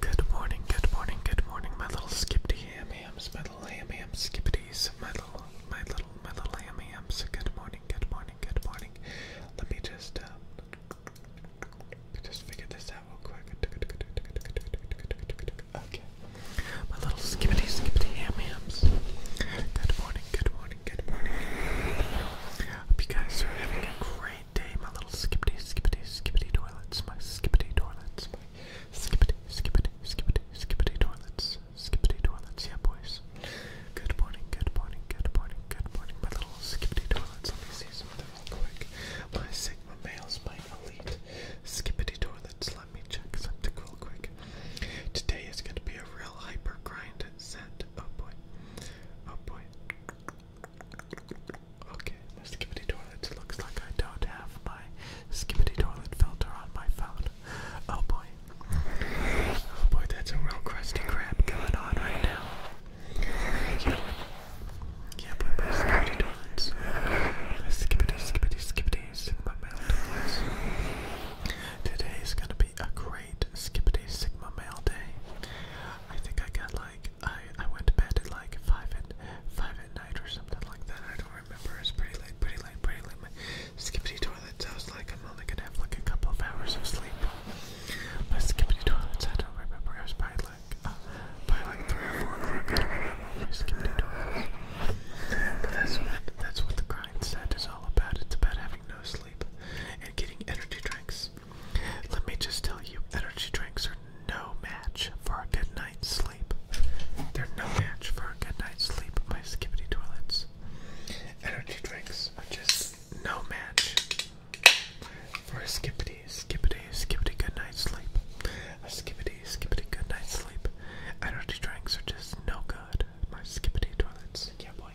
Good morning, good morning, good morning, my little skippity ham hams, my little ham ham skippities, my little, my little, my little ham hams. Good morning, good morning, good morning. Let me just, uh, just figure this out real quick. Okay. My little skippity skippity ham hams. Good morning, good morning, good morning. Hope you guys are having a great rain day, my little skippity, skippity, skippity toilets, my skippity toilets, my skippity, skippity, skippity, skippity toilets, skippity toilets, yeah, boys. Good morning, good morning, good morning, good morning, my little skippity toilets. Let me see something real quick. My Sigma males, my elite skippity toilets. Let me check something real quick. Today is going to be a real hyper grind set. Oh boy. Oh boy. Okay, the toilet looks like I don't have my skibbity toilet filter on my phone. Oh boy. Oh boy, that's a real crusty crab going on right now. Yeah, yeah but my skibbity toilets. My skibbity, skibbity, skibbities. My male toilets. Today's gonna be a great skibbity sigma mail day. I think I got like I I went to bed at like five at five at night or something like that. I don't remember. It's pretty late, pretty late, pretty late. My skippity toilets. I was like, I'm only gonna have like a couple of hours of sleep. My skippity toilets. I don't remember. I was probably like uh, like three or four o'clock. I don't remember my But that's that's what the grind set is all about. It's about having no sleep and getting energy drinks. Let me just tell you, energy drinks are no match for a good night's sleep. They're no match for a good night's sleep by Skibbity Toilets. Energy drinks are just no match for a skippity, skippity, skippity good night's sleep. A skippity, skippity good night's sleep. Energy drinks are just no good by Skibbity Toilets. Yeah, boy.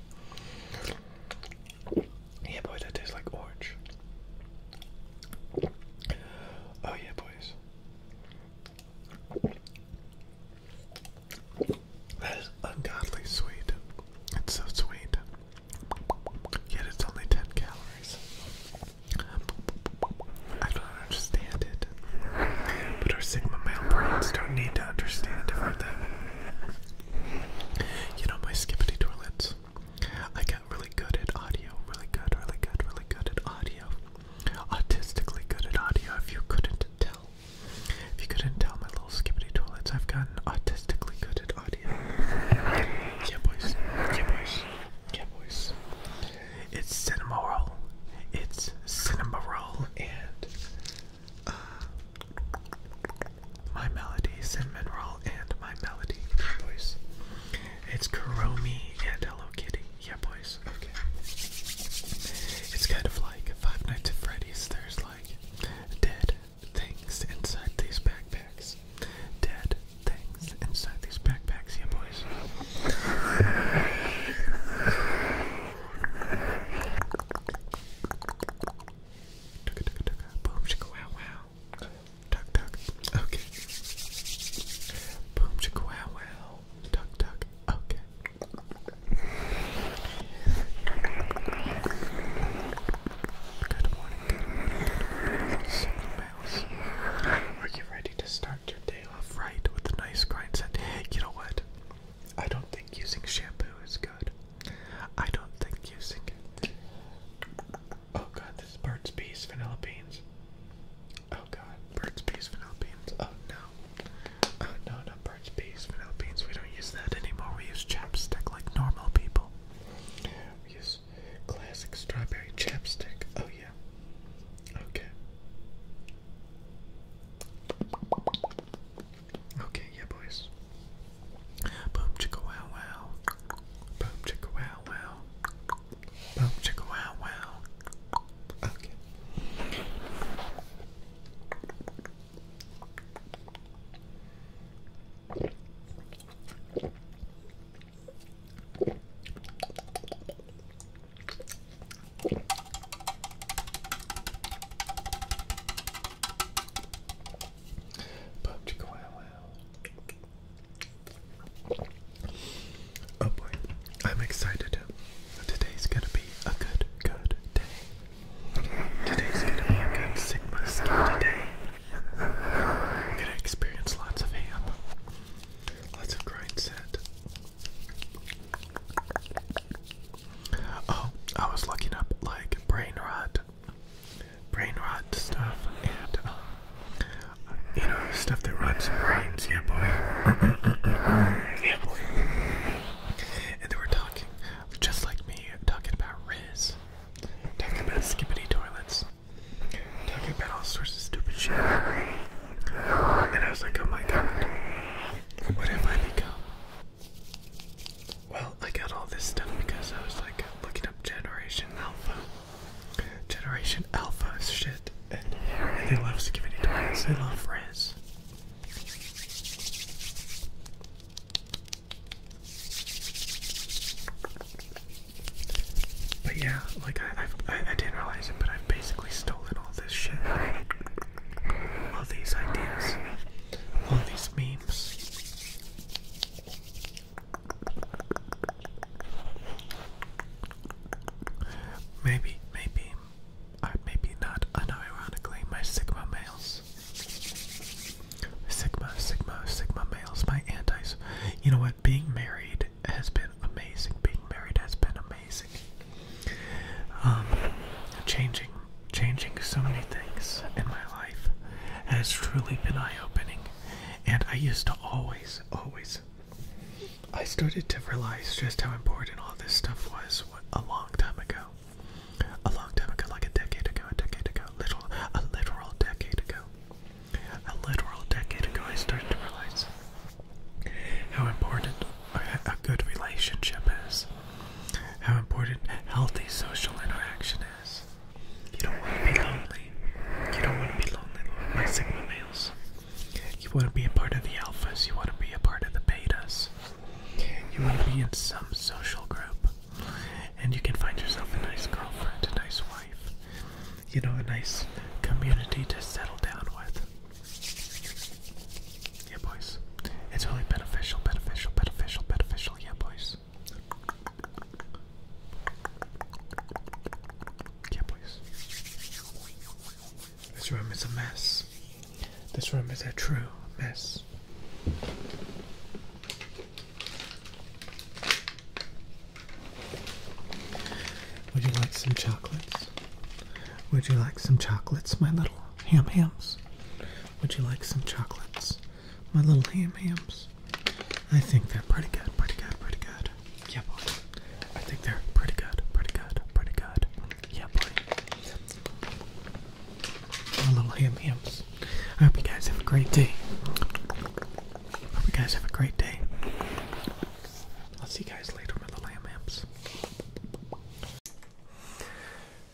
Yeah, boy, that tastes like orange. Oh, yeah, boys. That is ungodly sweet. It's so sweet. Yet it's only 10 calories. I don't understand it. But our Sigma male brains don't need to understand about You know, my skippity toilets. I got really good at audio, really good, really good, really good at audio. Autistically good at audio, if you couldn't tell. If you couldn't tell my little skippity toilets, I've gotten autistically good at audio. Yeah, boys. Yeah, boys. Yeah, boys. It's cinema roll. It's cinema roll and. Uh, my Melody, Cinnamon Roll, and My Melody. Yeah, boys. It's Kuromi and Hello Kitty. Yeah, boys. Okay. It's kind of like Five Nights at Freddy's. There's like dead things inside these backpacks. Dead things inside these backpacks. Yeah, boys. Boom, wow, wow. Tuck tuck. Okay. Boom chicka wow wow. Tuck tuck. Okay. Good morning, good morning, good morning. So, mouse. Are you ready to start your day off right with a nice grind set? You know what? I don't think using shampoo is good. I don't think you sink it. Oh god, this is Burt's Bees vanilla beans. Oh god, bird's Bees vanilla beans. Oh no. Oh no, not Burt's Bees vanilla beans. We don't use that anymore. We use chapstick like normal people. We use classic strawberry chapstick. Oh yeah. Okay. Okay, yeah, boys. Boom chicka wow wow. Boom chicka wow wow. Boom chicka wow wow. Okay. Boom chicka wow wow. Oh boy, I'm excited. Today's gonna be a good, good day. Today's gonna be a good Sigma Skinny day. gonna experience lots of ham, lots of grind set. Oh, I was looking up like brain rot brain rot stuff and uh, you know stuff that rots brains. Yeah, boy. yeah, boy. And they were talking, just like me, talking about Riz, talking about skippity toilets, talking about all sorts of stupid shit. And I was like, oh my god, what have I become? Well, I got all this stuff because I was like looking up Generation Alpha. Generation Alpha shit. And they love Skibidi Toys, they love Riz. But yeah, like I, I, I didn't realize it, but I've basically stolen all this shit, all these ideas, all these memes, Maybe, maybe, maybe not unironically, my Sigma males. Sigma, Sigma, Sigma males, my antis. You know what? Being married has been amazing. Being married has been amazing. Um, changing Changing so many things in my life has truly been eye opening. And I used to always, always, I started to realize just how important all this stuff was a long time ago. A long time ago, like a decade ago, a decade ago, literal, a literal decade ago. A literal decade ago, I started to realize how important a good relationship is, how important healthy social interaction is, you don't want to be lonely. You don't want to be lonely like Sigma males. You want to be a part of the alphas. You want to be a part of the betas. You want to be in some social group. And you can find yourself a nice girlfriend, a nice wife. You know, a nice community to settle down with. Yeah, boys. It's really beneficial, beneficial, beneficial, beneficial. Yeah, boys please? This room is a mess. This room is a true mess. Would you like some chocolates? Would you like some chocolates, my little ham hams? Would you like some chocolates? my little ham hams. I think they're pretty good, pretty good, pretty good. Yeah, boy. I think they're pretty good, pretty good, pretty good. Yeah, boy. My little ham hams. I hope you guys have a great day. Hope you guys have a great day. I'll see you guys later, my little ham hams.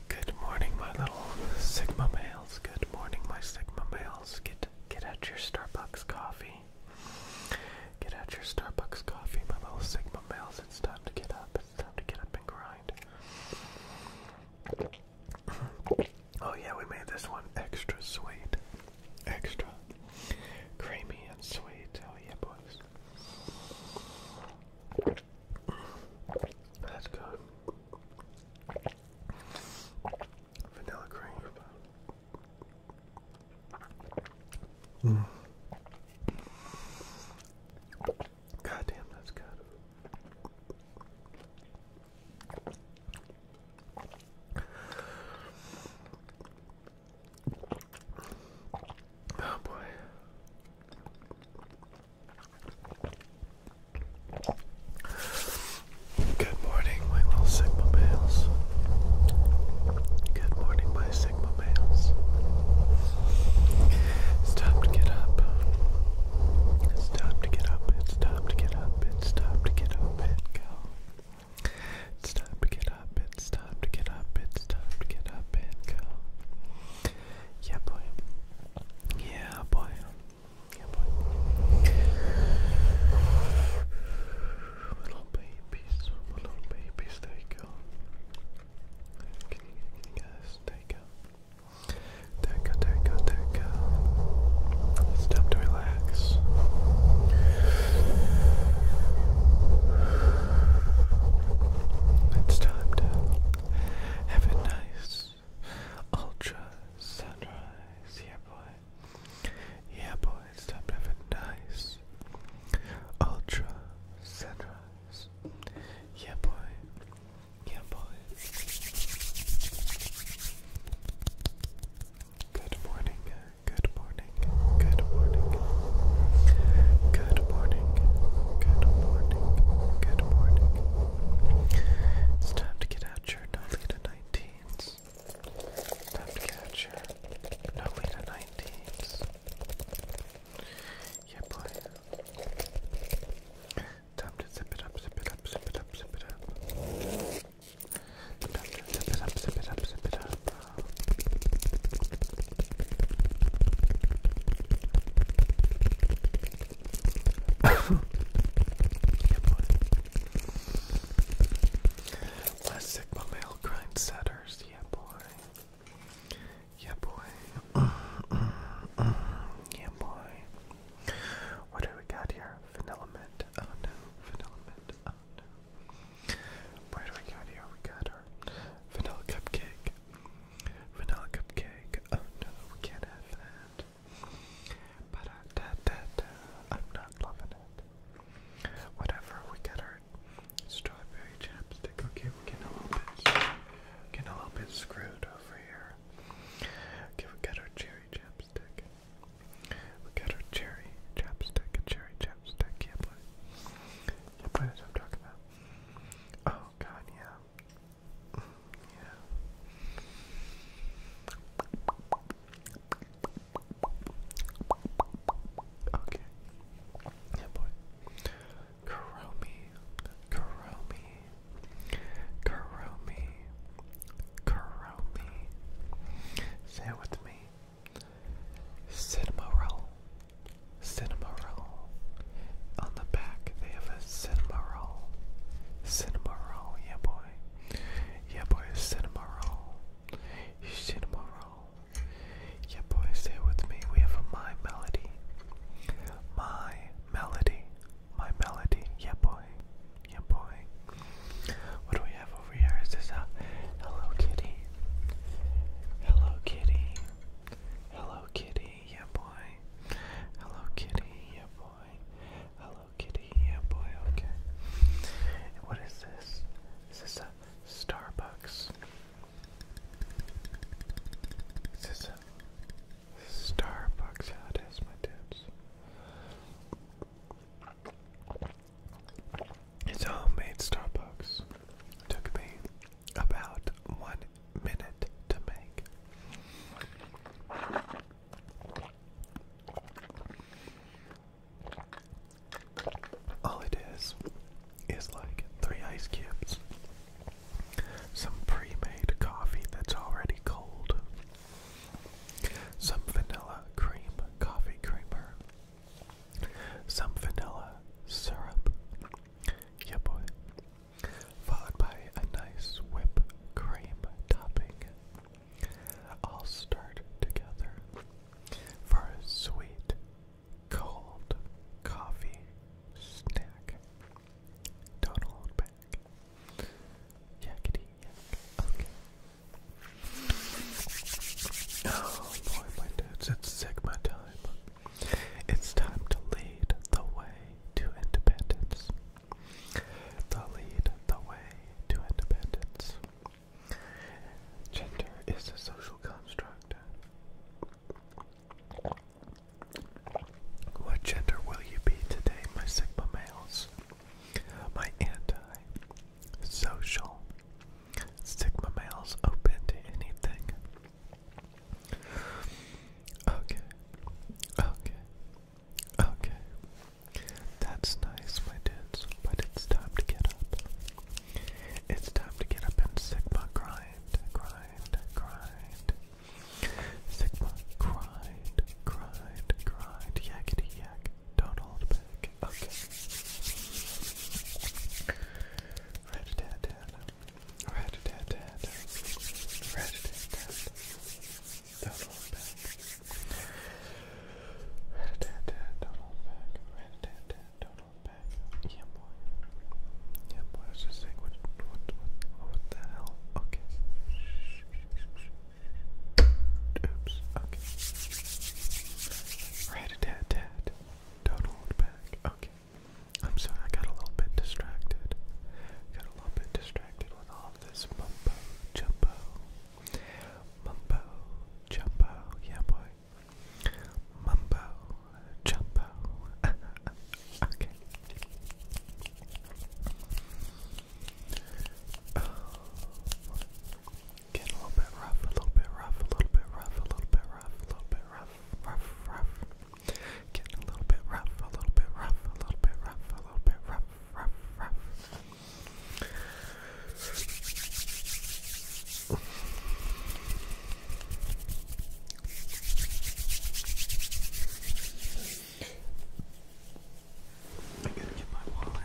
Good morning, my little Sigma males. Good morning, my Sigma males. Get get out your Starbucks coffee. Get out your Starbucks coffee, my little Sigma males. It's time to get up. It's time to get up and grind. oh yeah, we made this one extra sweet, extra creamy and sweet. Oh yeah, boys. That's good. Vanilla cream. Mm. that's good. Oh boy. Good morning, my little Sigma males. Good morning, my Sigma males. It's time to get up. It's time to get up. It's time to get up. It's time to get up and go. It's time to get up. It's time to get up. It's time to get up and go. Yeah, boy. Yeah, boy. Yeah, boy. Little babies, little babies, there you go. Can you, can you take out? There you It's time to relax. It's time to have a nice, Ultra Sunrise, yeah boy. Yeah boy, it's top effort nice. Ultra Sunrise. Yeah boy. Yeah boy. Good morning. Good morning. Good morning. Good morning. Good morning. Good morning. It's time to get out your Nolita 19s. Time to get out your Nolita 19s. Yeah, boy. Time to zip it up, zip it up, zip it up, zip it up. Time to zip it up, zip it up, zip it up. Less Sigma male grind setters, yeah boy. Yeah boy. yeah boy. What do we got here? Vanilla mint. Oh no, vanilla mint. Oh no. Where do we got here? We got our vanilla cupcake. Vanilla cupcake. Oh no, we can't have that. But I'm not loving it. Whatever, we got our strawberry chapstick. Okay, we're getting a little bit, getting a little bit screwed over here. Okay, we got our cherry chapstick. We got our cherry chapstick, cherry chapstick. Yeah, boy. Yeah, boy, that's i talking about. Oh god, yeah. Yeah. Okay. Yeah, boy. Kuromi, Kuromi, Kuromi, Kuromi. Say with me. Cinnamon cinema roll. On the back, they have a cinema roll. Cinema roll, yeah boy. Yeah boy, cinema roll. Cinema roll. Yeah boy, stay with me. We have a My Melody. My Melody. My Melody, yeah boy. Yeah boy. What do we have over here? Is this a Hello Kitty? Hello Kitty. Hello Kitty yeah boy. Hello Kitty, yeah boy. Hello Kitty, yeah boy. Okay. what is this? Is this a Starbucks? Is a Starbucks? How yeah, my dudes. It's a homemade Starbucks. It took me about one minute to make. All it is is like three ice cubes, some pre made coffee that's already cold, some vanilla cream coffee creamer, some vanilla syrup. Yeah, boy followed by a nice whipped cream topping. All start together for a sweet, cold coffee snack. Don't hold back. Yakety yak. Oh boy, my dad's at Sigma time. It's time to lead the way to independence. The lead the way to independence. Gender is a social construct. What gender will you be today, my Sigma males? My anti social Sigma males open to anything. Okay. Okay. Okay. That's nice, my dudes, but it's time to get up. It's time to get up and Sigma grind, grind, grind. Sigma grind, grind, grind. Yakety yak. Don't hold back. Okay. Red Dead Dead. Rat-a-tat-tat. Rat-a-tat-tat. Don't hold back. Rat-a-tat-tat. Don't hold back. Rat-a-tat-tat. Don't hold back. Yeah, boy. Yeah, boy. I was just saying, what, what, what, what the hell? Okay. Oops. Okay. Rat-a-tat-tat. Don't hold back. Okay. I'm sorry, I got a little bit distracted. Got a little bit distracted with all this mumbo jumbo. Mumbo jumbo, yeah, boy. Mumbo jumbo. okay. Oh. Getting a little bit rough, a little bit rough, a little bit rough, a little bit rough, a little bit rough, rough, rough. Getting a little bit rough, a little bit rough, a little bit rough, a little bit rough, rough, rough. I gotta get my wallet.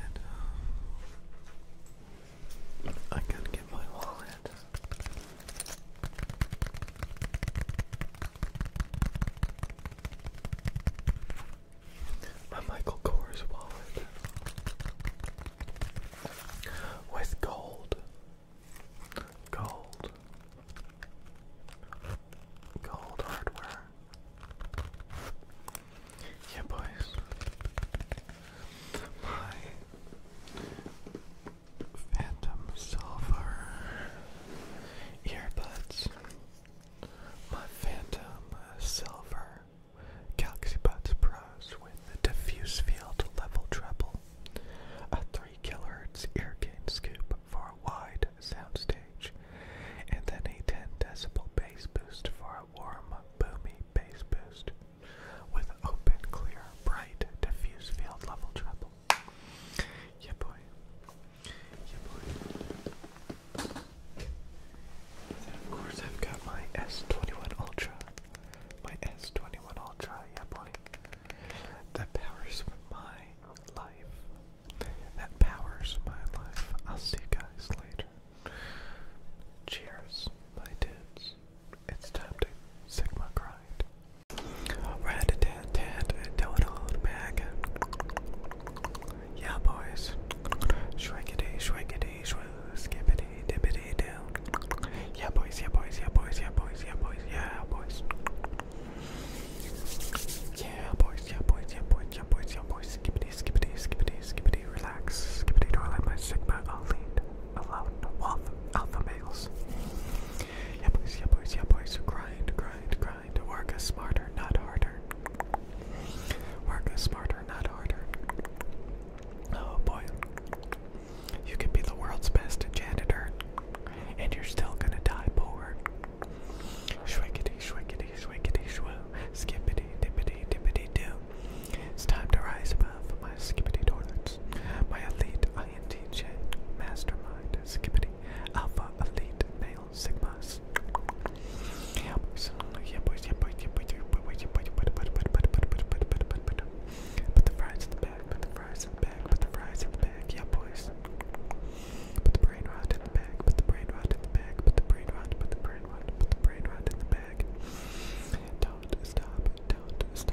I gotta get my wallet. My Michael Kors wallet with gold, gold, gold hardware. Yeah, boys. My Phantom Silver earbuds. My Phantom Silver Galaxy Buds Pros with the diffuse field level treble. A 3 kHz ear gain scoop for a wide soundstage. And then a 10 decibel bass boost for a warm, boomy bass boost. With open, clear, bright, diffuse field level treble. Yeah, boy. Yeah, boy. Then of course I've got my S21 Ultra. My S21 Ultra, yeah, boy. That powers my life. That powers my life. I'll see you guys later. Cheers, my dudes. It's time to Sigma grind. Rat a tat tat, tell it all back. Yeah, boys. Shrinkity, shrinkity, shrinkity, skippity, dippity, down. Yeah, boys, yeah, boys, yeah, boys, yeah, boys, yeah, boys, yeah, boys. Yeah, boys, yeah, boys, yeah, boys, yeah, boys, yeah, boys. Skippity, skippity, skippity, skippity, relax. Skippity, don't let my sigma elite alone. Wolf, alpha males. Yeah, boys, yeah, boys, yeah, boys. So grind, grind, grind. Work is smarter, not harder. Work is smarter, not harder. Oh boy. You can be the world's best janitor, and you're still gonna die poor. Shwiggity, shwiggity, shwiggity, shwoo. Skippity, dippity, dippity, doo. It's time to rise above have my Skippity Toilets, my Elite INTJ Mastermind Skippity Alpha Elite Male Sigmas. Yeah, boys, yeah, boys, yeah, boys, yeah, boys, yeah, boys, yeah, boys, yeah, boys, Put the fries in the bag, put the fries in the bag, put the fries in the bag, yeah, boys. Put the brain rot in the bag, put the brain rot in the bag, put the brain rot, put the brain rot, put the brain rot in the bag. Don't stop, don't stop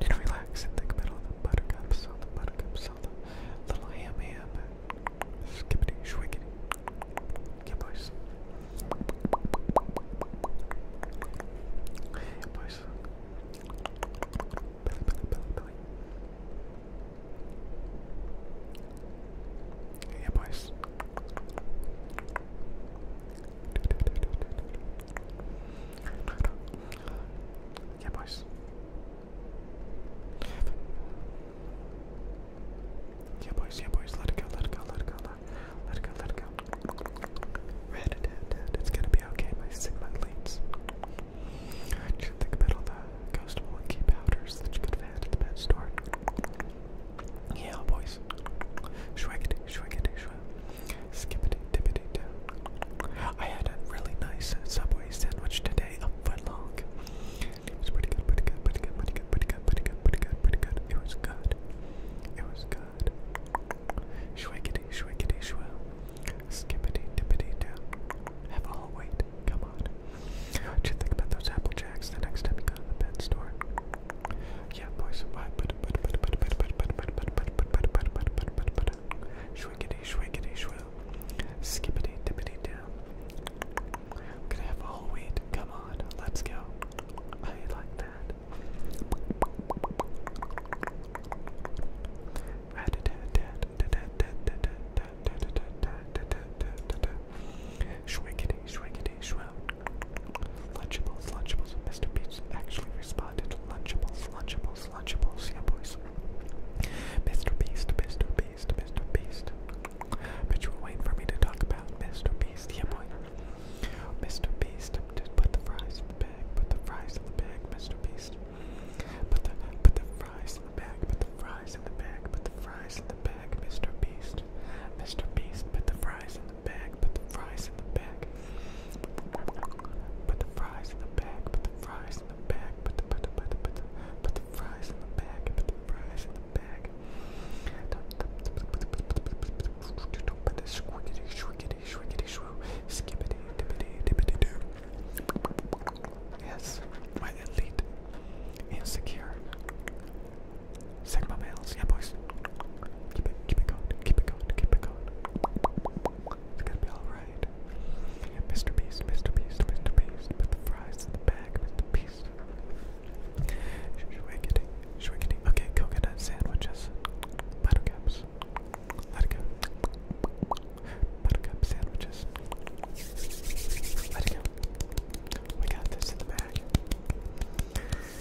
and relax in the middle of the buttercup, so the buttercup, so the little ham ham, skippity, shwiggity, yeah boys, yeah boys, belly, belly, belly, belly, yeah boys. Yeah, boys. Yeah, boys. Yeah, boys. Let it go. Let it go. Let it go. Let it go. Let it go. Red, dead, dead. It's gonna be okay. My Sigma leads. You should think about all the ghost monkey powders that you could have had at the pet store. Yeah, boys. Shrug it. Shrug it. Shrug. Skippity dippity down. I had a really nice Subway sandwich today, a foot long. It was pretty good, pretty good, pretty good, pretty good, pretty good, pretty good, pretty good, pretty good. It was good. It was good. Shwiggity, shwiggity, shwill. Skippity, dippity, down. Have all wait. Come on. What you think about those Apple Jacks the next time you go to the pet store? Yeah, boys. Wow, Shwiggity, shwiggity, shwill. Skippity, dippity, down. gonna have a whole wheat. Come on, let's go. I like that. Shwiggity, shwiggity, shwill. Lunchables, lunchables. Lunchables. Mr. Peach actually responded, Lunchables, Lunchables, Lunchables, yeah boys. Mr. Beast, Mr. Beast, Mr. Beast. But you were waiting for me to talk about Mr. Beast, yeah boy. Mr. Beast, just put the fries in the bag, put the fries in the bag, Mr. Beast. Put the, put the fries in the bag, put the fries in the bag, put the fries in the bag, Mr. Beast. Mr. Beast, put the fries in in the bag, put the fries in the bag. Put the fries in the bag, put the fries in the bag, put the put the put the put the put the fries in the bag, put the fries in the bag. Put the squiggity squiggity squiggity swoo skippity dippity dippity doo. Yes, my elite insecure. Sigma males, yeah boys. Keep it, keep it going, keep it going, keep it going. It's gonna be alright. Mr. Beast, Mr. Beast, Mr. Beast, put the fries in the bag, Mr. Beast. Shwiggity, shwiggity. Okay, coconut sandwiches. Buttercups. Let it go. Buttercup sandwiches. Let it go. We got this in the bag.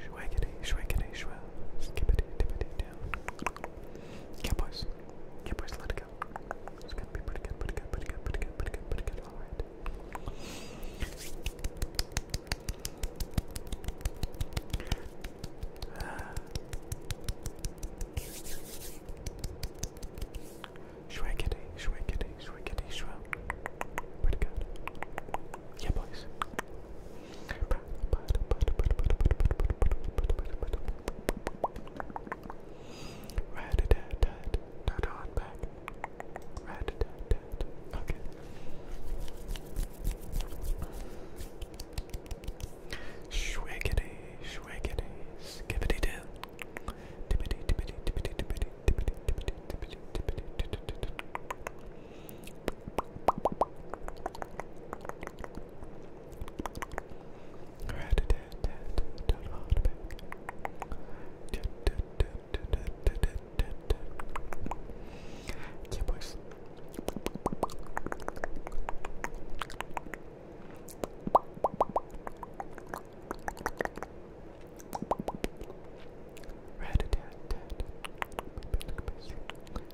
Shwaggity, shwaggity, shwell. Skippity, dippity, down. Yeah, boys. Yeah, boys, let it go. It's gonna be pretty good, pretty good, pretty good, pretty good, pretty good, pretty good. Alright. Shwekity, shwekity, shwekity, shwa. Where to go? Yeah, boys. Rat a tat tat, not on back. Rat a tat good. Okay. Schwiggity, schwiggity, do. Tippity, tippity, tippity, tippity, tippity, tippity, tippity, tippity, tippity, Rat do yeah, boys. Red dad,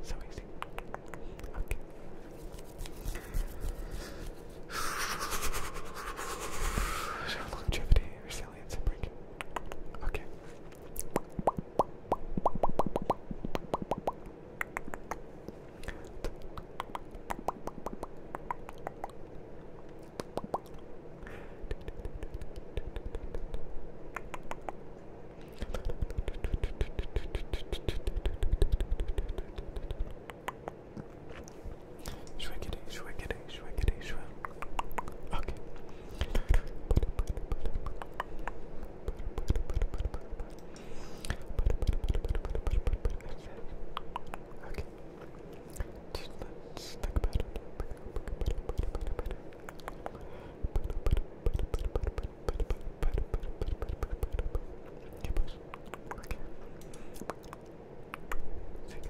So easy. Okay. Longevity, resilience, aliens and breaking. Okay. Shwiggity, shwiggity, shwiggity, shwig. Okay. Okay. Just let's think about it. Okay.